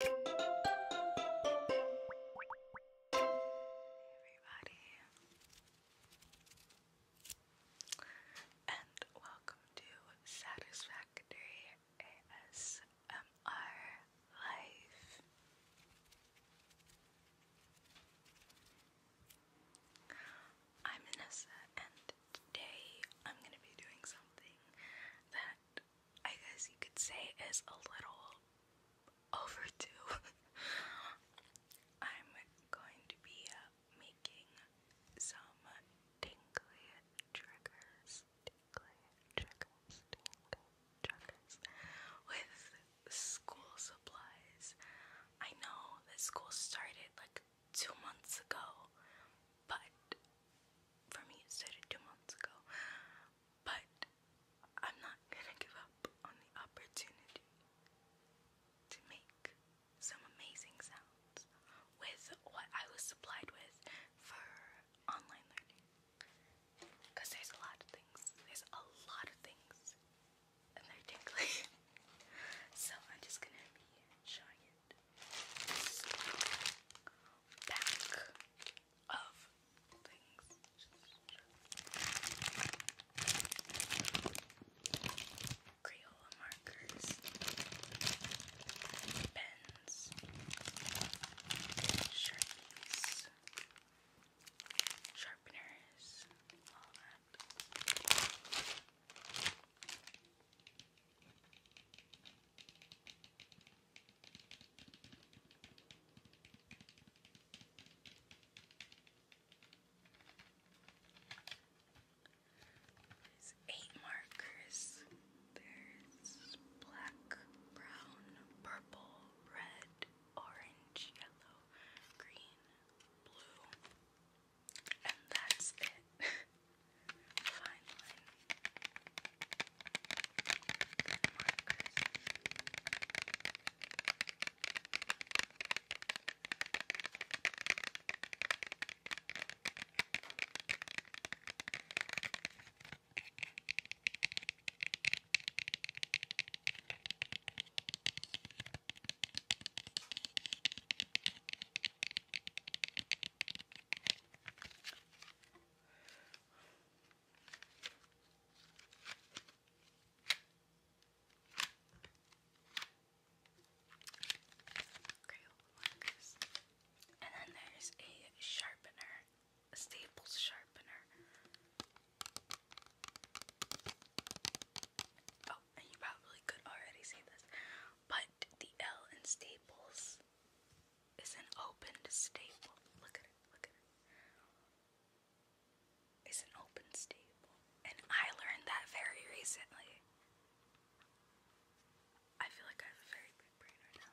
everybody, and welcome to Satisfactory ASMR Life. I'm Vanessa, and today I'm going to be doing something that I guess you could say is a little overdue. I'm going to be uh, making some tingly triggers, tingly triggers, tingly triggers with school supplies. I know that school started like two months ago, but for me it started two months ago. But I'm not gonna give up on the opportunity to make some amazing sounds with what I was supplied with for online learning. Because there's a lot of things. There's a lot of things. And they're tingly. so I'm just gonna be showing it pack of things. Crayola markers, pens, sharpies, sharpeners, all that. There's eight markers. There's black, brown, purple, red, orange, yellow, green, blue. And that's it. Highline and markers. Crayola And then there's a sharpener, Staples sharpener. Oh, and you probably could already see this, but the L in Staples is an opened staple. Look at it, look at It's an open staple. And I learned that very recently. I feel like I have a very big brain right now.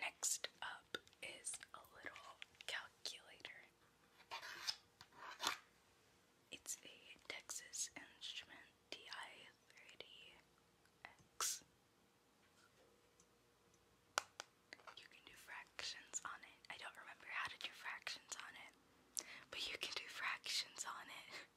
Next up is a little calculator. It's a Texas Instrument TI 30 x You can do fractions on it. I don't remember how to do fractions on it, but you can do fractions on it.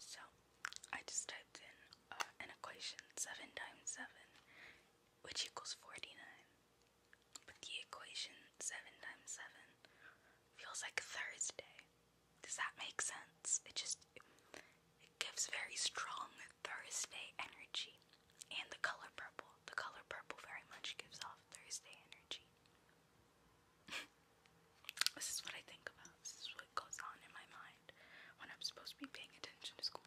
So I just typed in uh, an equation seven times seven, which equals forty nine. But the equation 7 times 7 feels like Thursday. Does that make sense? It just it gives very strong Thursday energy. And the color purple. The color purple very much gives off Thursday energy. this is what I think about. This is what goes on in my mind when I'm supposed to be paying attention to school.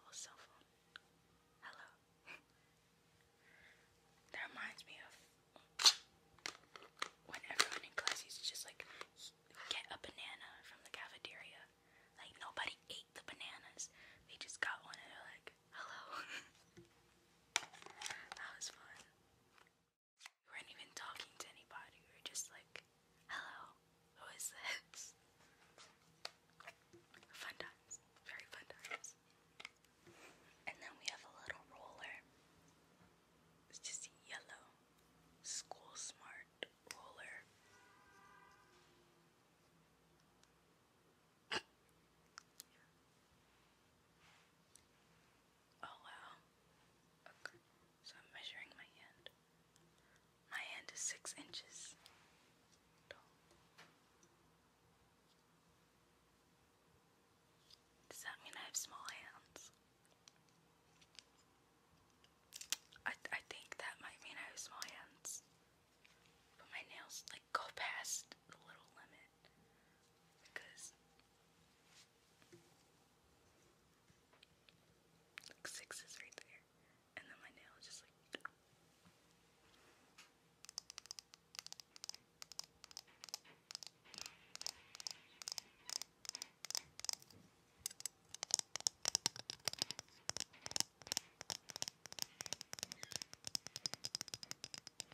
Little cell phone. Hello. that reminds me of when everyone in class used to just like get a banana from the cafeteria. Like nobody ate the bananas. They just got one and they're like, hello. that was fun. We weren't even talking to anybody. We were just like, hello, who is this? Fun times. Very fun times. And then we have a little roller. It's just yellow. School smart roller. Oh wow. Okay. So I'm measuring my hand. My hand is six inches tall. Does that mean I have small hands? I I think that might mean I have small hands. But my nails like go past the little limit it because six is right there, and then my nail just like.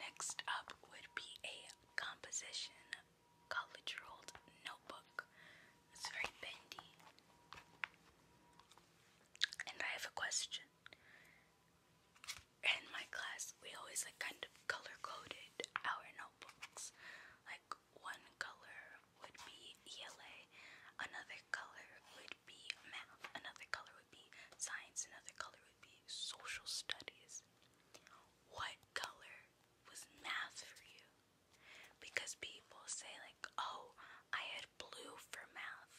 Next up would be a composition college rolled notebook. It's very bendy. And I have a question. In my class, we always like kind of color coded our notebooks, like one color would be ELA, another color would be math, another color would be science, another color would be social studies. What color was math for you? Because people say, like, oh, I had blue for math.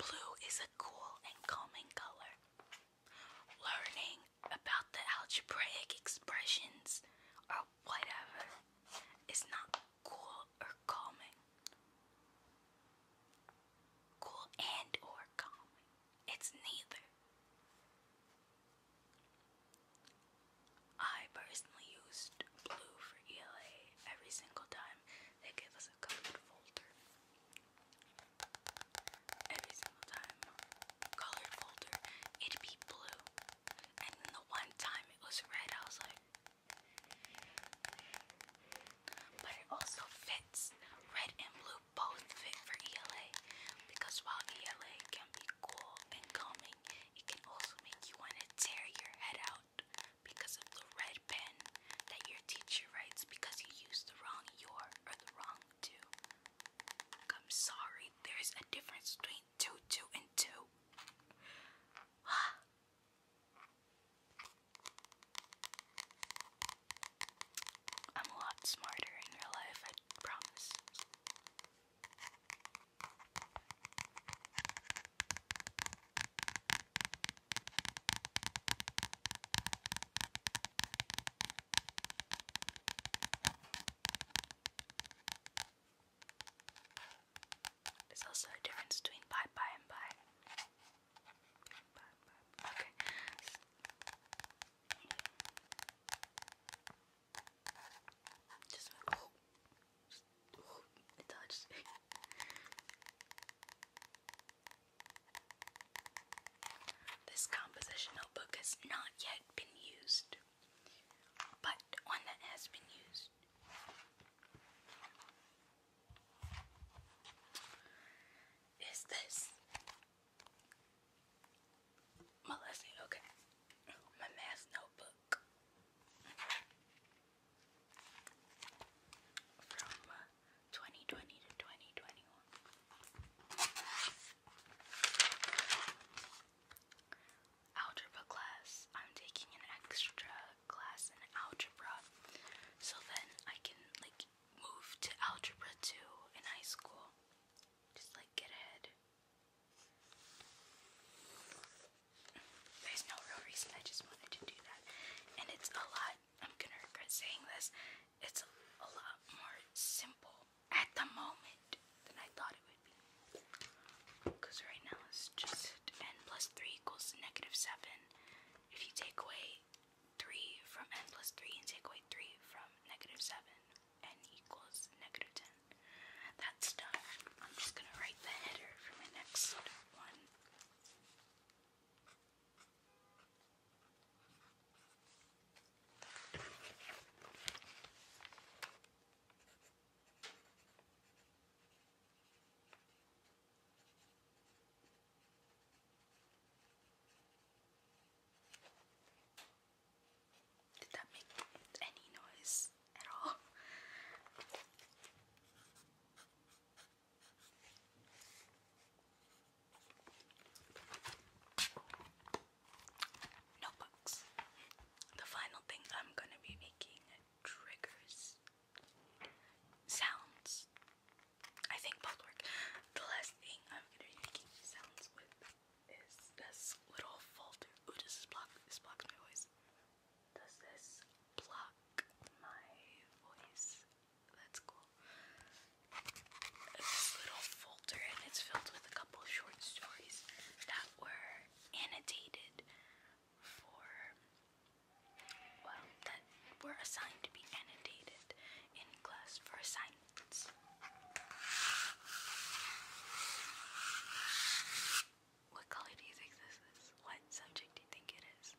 Blue is a cool and calming color. Learning about the algebraic expressions or whatever is not cool or calming. Cool and or calming. It's neither. I personally used blue for ELA every single time they give us a colored folder. Every single time colored folder, it'd be blue. And the one time it was red, I was like, but it also fits. Red and blue both fit for ELA because while ELA can be cool and calming, it can also make you want to tear your head out because of the red pen that your teacher writes because you used the wrong your or the wrong to. I'm sorry, there's a difference between two, two, and two. I'm a lot smarter in real life, I promise. There's also a difference between bye bye and bye. Okay. Just oh, just, oh, it this composition notebook has not yet been used, but one that has been used. Is this my lesson? Okay, my math notebook from 2020 uh, to 2021. Algebra class. I'm taking an extra class in algebra so then I can like move to algebra 2 in high school. Just like get ahead. There's no real reason, I just wanted to do that. And it's a lot, I'm gonna regret saying this, it's a, lot more simple at the moment than I thought it would be. Because right now it's just n plus 3 equals negative 7. If you take away 3 from n plus 3 and take away 3 from negative 7, n equals negative 10. That's done. I'm just going to write the header for my next one. Did that make any noise at all? Notebooks. The final thing I'm going to be making triggers. Sounds. I think both work. The last thing I'm going to be making sounds with is this little folder. does this block? This blocks my voice. Does this block my voice? That's cool this little folder, and it's filled with a couple of short stories that were annotated for, well, that were assigned to be annotated in class for assignments. What color do you think this is? What subject do you think it is?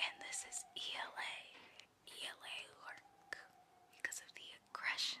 And this is ELA, ELA lurk because of the aggression.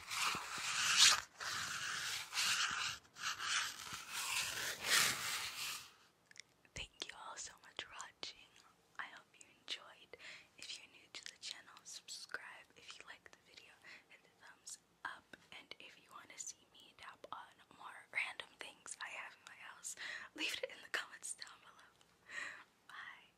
Thank you all so much for watching. I hope you enjoyed. If you're new to the channel, subscribe. If you like the video, hit the thumbs up. And if you want to see me tap on more random things I have in my house, leave it in the comments down below. Bye.